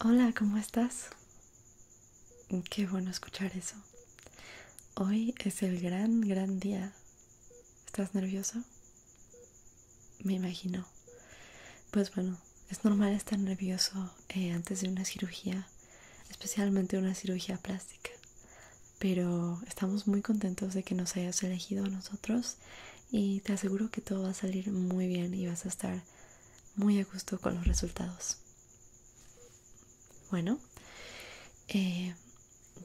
Hola, ¿cómo estás? Qué bueno escuchar eso. Hoy es el gran, gran día. ¿Estás nervioso? Me imagino. Pues bueno, es normal estar nervioso eh, antes de una cirugía, especialmente una cirugía plástica. Pero estamos muy contentos de que nos hayas elegido a nosotros y te aseguro que todo va a salir muy bien y vas a estar muy a gusto con los resultados. Bueno, eh,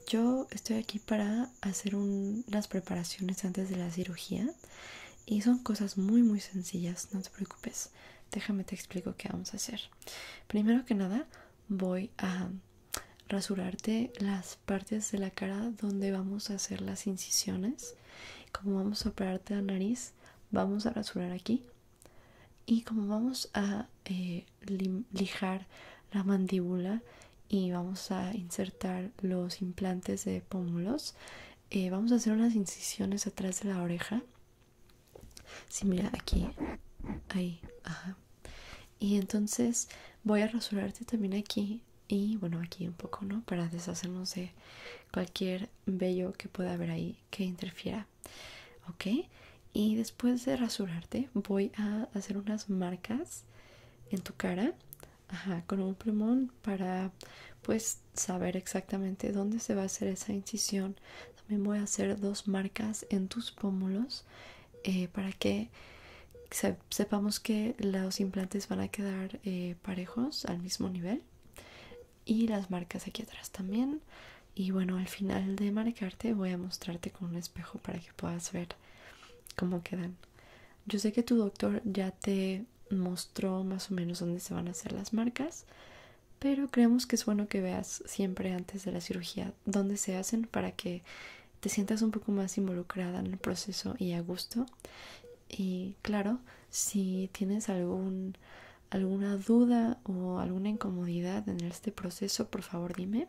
yo estoy aquí para hacer las preparaciones antes de la cirugía y son cosas muy muy sencillas, no te preocupes. Déjame te explico qué vamos a hacer. Primero que nada, voy a rasurarte las partes de la cara donde vamos a hacer las incisiones. Como vamos a operarte la nariz, vamos a rasurar aquí y como vamos a eh, lijar la mandíbula y vamos a insertar los implantes de pómulos eh, vamos a hacer unas incisiones atrás de la oreja si mira aquí ahí y entonces voy a rasurarte también aquí y bueno aquí un poco no para deshacernos de cualquier vello que pueda haber ahí que interfiera ok y después de rasurarte voy a hacer unas marcas en tu cara con un plumón para pues saber exactamente dónde se va a hacer esa incisión también voy a hacer dos marcas en tus pómulos eh, para que sepamos que los implantes van a quedar eh, parejos al mismo nivel y las marcas aquí atrás también y bueno al final de marcarte voy a mostrarte con un espejo para que puedas ver cómo quedan yo sé que tu doctor ya te mostró más o menos dónde se van a hacer las marcas pero creemos que es bueno que veas siempre antes de la cirugía dónde se hacen para que te sientas un poco más involucrada en el proceso y a gusto y claro, si tienes alguna duda o alguna incomodidad en este proceso, por favor dime.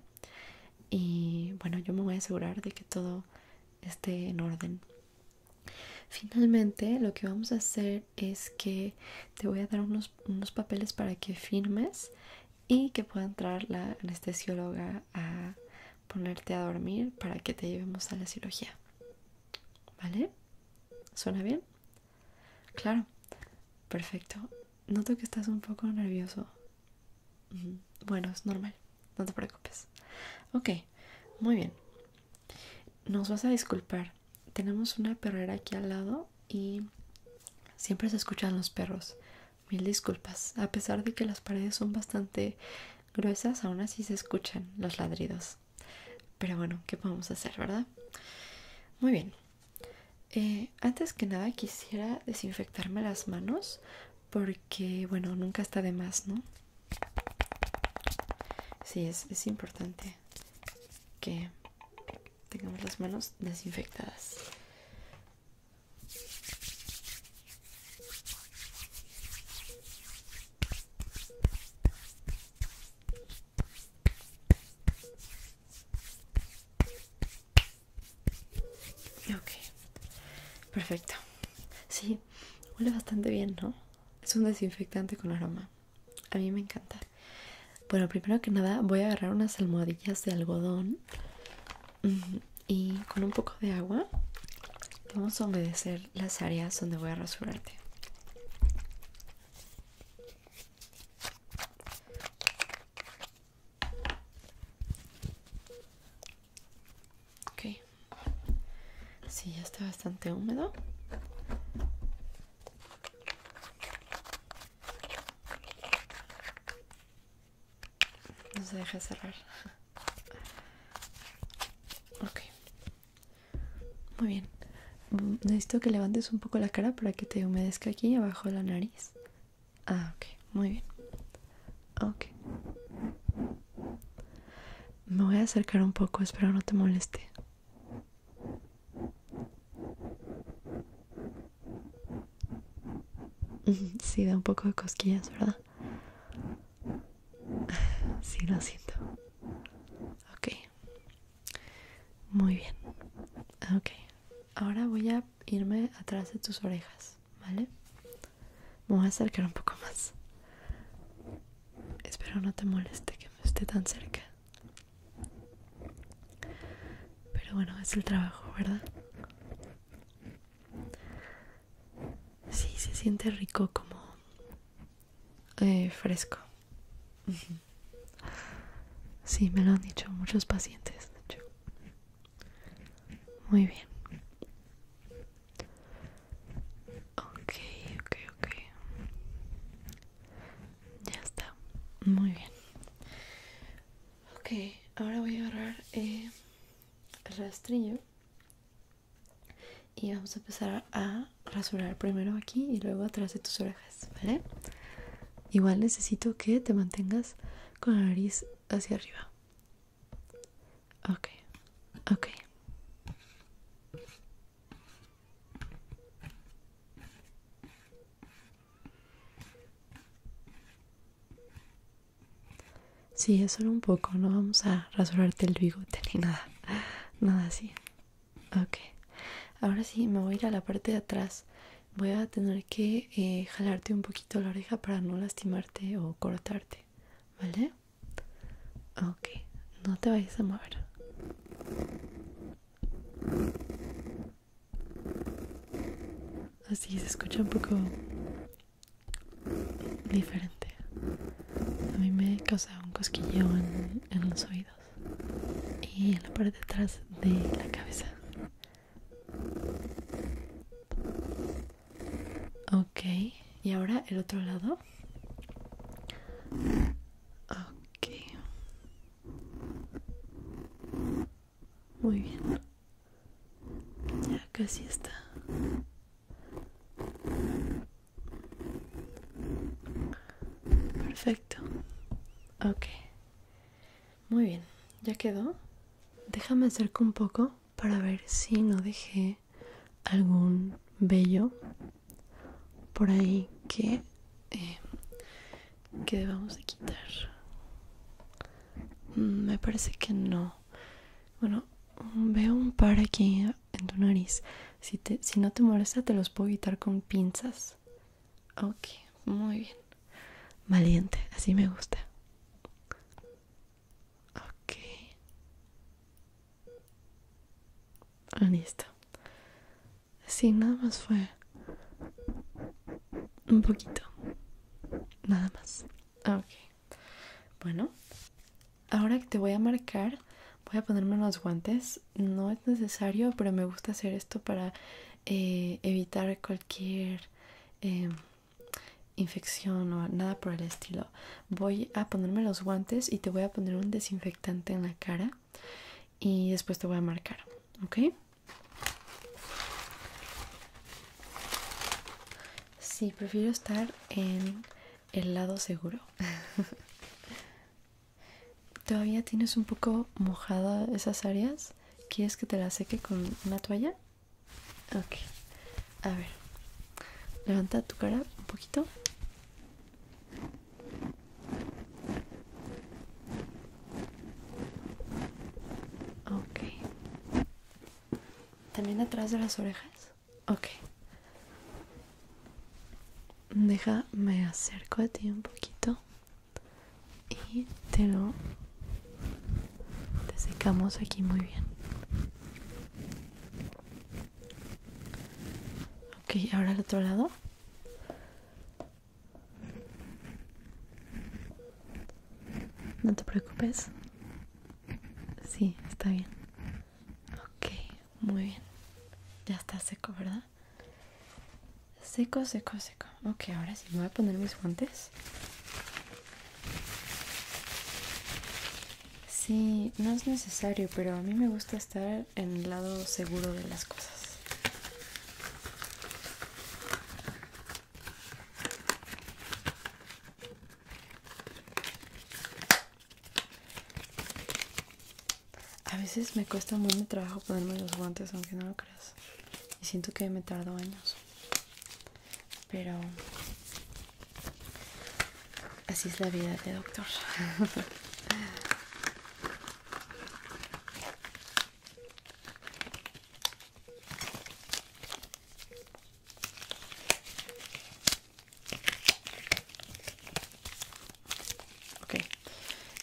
Y bueno, yo me voy a asegurar de que todo esté en orden. Finalmente, lo que vamos a hacer es que te voy a dar unos papeles para que firmes y que pueda entrar la anestesióloga a ponerte a dormir para que te llevemos a la cirugía. ¿Vale? ¿Suena bien? Claro. Perfecto. Noto que estás un poco nervioso. Bueno, es normal. No te preocupes. Ok, muy bien. Nos vas a disculpar. Tenemos una perrera aquí al lado y siempre se escuchan los perros. Mil disculpas. A pesar de que las paredes son bastante gruesas, aún así se escuchan los ladridos. Pero bueno, ¿qué podemos hacer, verdad? Muy bien. Eh, antes que nada quisiera desinfectarme las manos porque, bueno, nunca está de más, ¿no? Sí, es, es importante que tengamos las manos desinfectadas. Ok, perfecto. Sí, huele bastante bien, ¿no? Es un desinfectante con aroma. A mí me encanta. Bueno, primero que nada voy a agarrar unas almohadillas de algodón y con un poco de agua vamos a humedecer las áreas donde voy a rasurarte. Ok. Sí, ya está bastante húmedo. No se deja cerrar. Ok. Muy bien. Mm, necesito que levantes un poco la cara para que te humedezca aquí abajo de la nariz. Ah, ok. Muy bien. Ok. Me voy a acercar un poco, espero no te moleste. Sí, da un poco de cosquillas, ¿verdad? Sí, lo siento. Ok. Muy bien. Ok. Ahora voy a irme atrás de tus orejas, ¿vale? Me voy a acercar un poco más. Espero no te moleste que me esté tan cerca. Pero bueno, es el trabajo, ¿verdad? Sí, se siente rico como eh, fresco. Sí, me lo han dicho muchos pacientes. Muy bien. Ok, ok, ok. Ya está. Muy bien. Ok, ahora voy a agarrar eh, el rastrillo y vamos a empezar a rasurar primero aquí y luego atrás de tus orejas, ¿vale? Igual necesito que te mantengas con la nariz hacia arriba. Ok, ok. Sí, es solo un poco, no vamos a rasurarte el bigote ni nada nada así. Ok, ahora sí me voy a ir a la parte de atrás. Voy a tener que eh, jalarte un poquito la oreja para no lastimarte o cortarte, ¿vale? Ok, no te vayas a mover. Así se escucha un poco diferente a mí me causa un cosquillo en, los oídos y en la parte de atrás de la cabeza. Ok, y ahora el otro lado. Ok. Muy bien. Ya casi está. Perfecto. Ok. Muy bien. ¿Ya quedó? Déjame acercar un poco para ver si no dejé algún vello por ahí que, eh, que debamos de quitar. Mm, me parece que no. Bueno, veo un par aquí en tu nariz. Si, te, si no te molesta, te los puedo quitar con pinzas. Ok, muy bien. Valiente, así me gusta. Ok. Ah, listo. Sí, nada más fue un poquito. Nada más. Ok. Bueno, Ahora que te voy a marcar, voy a ponerme los guantes. No es necesario, pero me gusta hacer esto para eh, evitar cualquier em, infección o nada por el estilo. Voy a ponerme los guantes y te voy a poner un desinfectante en la cara y después te voy a marcar, ¿ok? Sí, prefiero estar en el lado seguro. ¿Todavía tienes un poco mojada esas áreas? ¿Quieres que te la seque con una toalla? Ok. A ver. Levanta tu cara un poquito. También atrás de las orejas. Ok. Deja, me acerco a ti un poquito y te lo te secamos aquí muy bien. Ok, ahora al otro lado. No te preocupes. Sí, está bien. Ok, muy bien. Ya está seco, ¿verdad? Seco, seco, seco. Ok, ahora sí me voy a poner mis guantes. Sí, no es necesario, pero a mí me gusta estar en el lado seguro de las cosas. A veces me cuesta mucho trabajo ponerme los guantes, aunque no lo creas. Y siento que me tardo años. Pero así es la vida de doctor.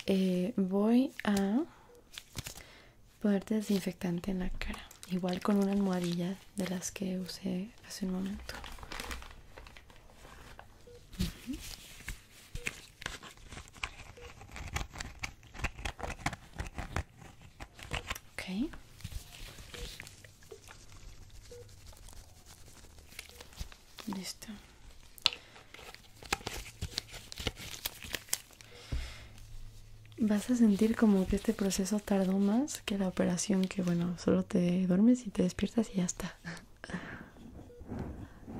Eh, voy a poner desinfectante en la cara, igual con una almohadilla de las que usé hace un momento. Listo. Vas a sentir como que este proceso tardó más que la operación que, bueno, solo te duermes y te despiertas y ya está.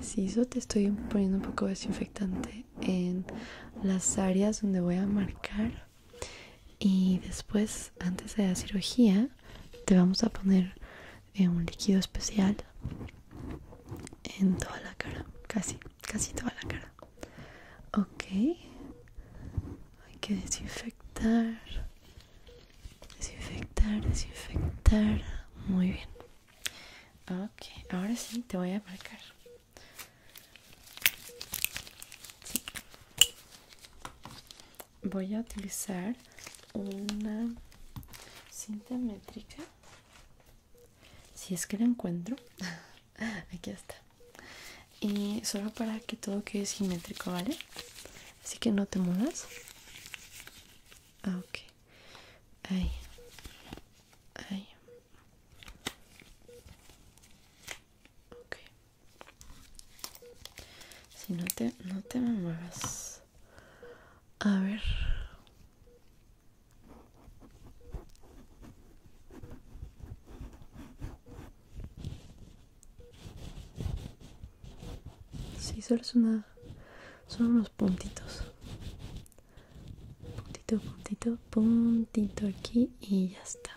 Si eso te estoy poniendo un poco de desinfectante en las áreas donde voy a marcar y después antes de la cirugía te vamos a poner eh, un líquido especial en toda la cara casi casi toda la cara ok hay que desinfectar desinfectar desinfectar muy bien ok ahora sí te voy a marcar voy a utilizar una cinta métrica si es que la encuentro aquí está y solo para que todo quede simétrico vale así que no te mudas ah, ok ahí ahí ok si no te, no te me muevas. A ver. Sí, solo es una... Son unos puntitos. Puntito, puntito, puntito aquí y ya está.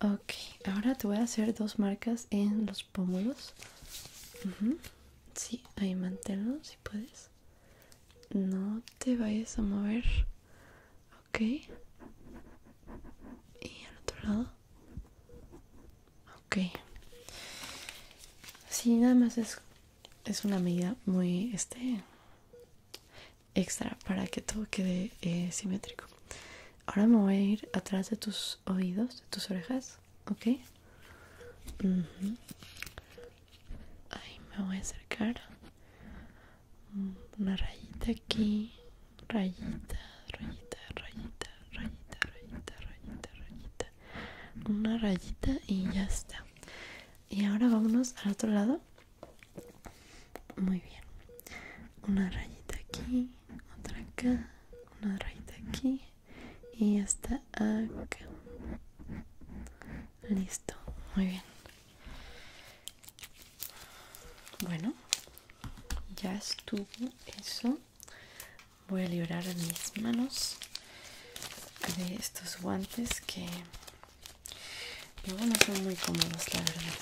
Ok, ahora te voy a hacer dos marcas en los pómulos. Sí, ahí manténlo si puedes. No te vayas a mover. Ok. Y al otro lado. Ok. Sí, nada más es, una medida muy este extra para que todo quede eh, simétrico. Ahora me voy a ir atrás de tus oídos, de tus orejas, ¿ok? Ahí me voy a acercar. Una rayita aquí. Rayita, rayita, rayita, rayita, rayita, rayita, rayita. Una rayita y ya está. Y ahora vámonos al otro lado. Muy bien. Una rayita aquí otra acá, una rayita aquí y hasta acá. Listo, muy bien. Bueno, ya estuvo eso. Voy a librar mis manos de estos guantes que luego no son muy cómodos, la verdad.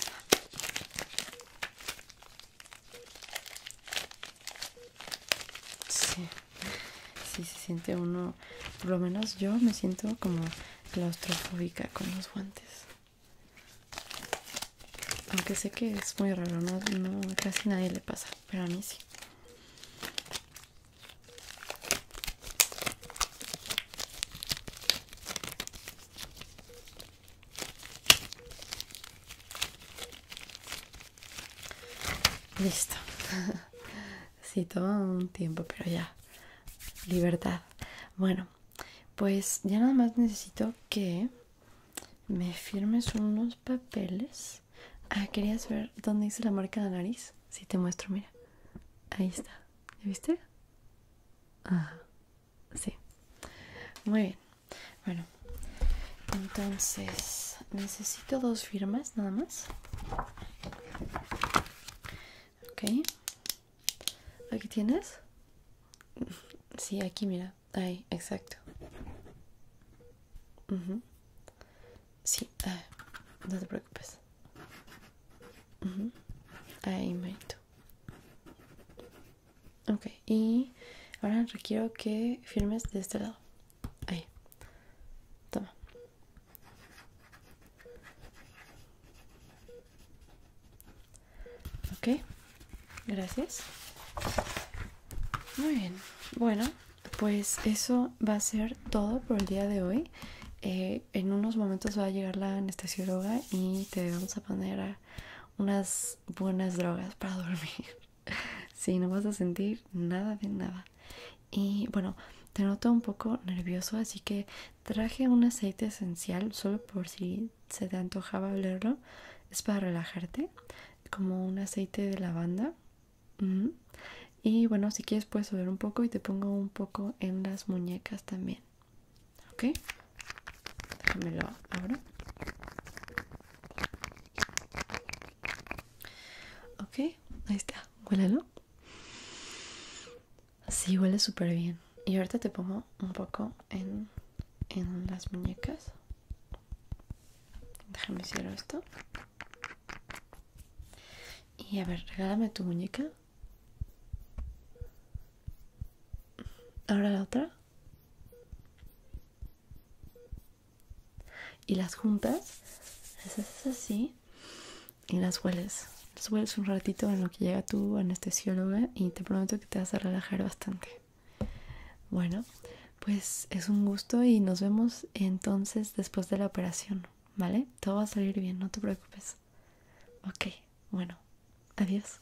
Sí. sí, se siente uno, por lo menos yo me siento como claustrofóbica con los guantes. Aunque sé que es muy raro, no, casi nadie le pasa, pero a mí sí. Listo. sí, todo un tiempo, pero ya. Libertad. Bueno, pues ya nada más necesito que me firmes unos papeles. Ah, querías ver dónde hice la marca de nariz. Si te muestro, mira. Ahí está. ¿Ya viste? Ah Sí. Muy bien. Bueno, entonces necesito dos firmas nada más. Ok. ¿Aquí tienes? Sí, aquí mira. Ahí, exacto. Sí, ah, no te preocupes. Ahí, marito. Ok, y ahora requiero que firmes de este lado. Ahí. Toma. Ok, gracias. Muy bien. Bueno, pues eso va a ser todo por el día de hoy. Eh, en unos momentos va a llegar la anestesióloga y te vamos a poner a unas buenas drogas para dormir. si no vas a sentir nada de nada. Y bueno, te noto un poco nervioso, así que traje un aceite esencial solo por si se te antojaba olerlo. Es para relajarte, como un aceite de lavanda. Y bueno, si quieres puedes oler un poco y te pongo un poco en las muñecas también ok déjamelo ahora ok ahí está huélalo Sí, huele súper bien. Y ahorita te pongo un poco en, en las muñecas. Déjame cierro esto. Y a ver, regálame tu muñeca. Ahora la otra. Y las juntas, las haces así y las hueles. Las hueles un ratito en lo que llega tu anestesióloga y te prometo que te vas a relajar bastante. Bueno, pues es un gusto y nos vemos entonces después de la operación, ¿vale? Todo va a salir bien, no te preocupes. Ok, bueno, adiós.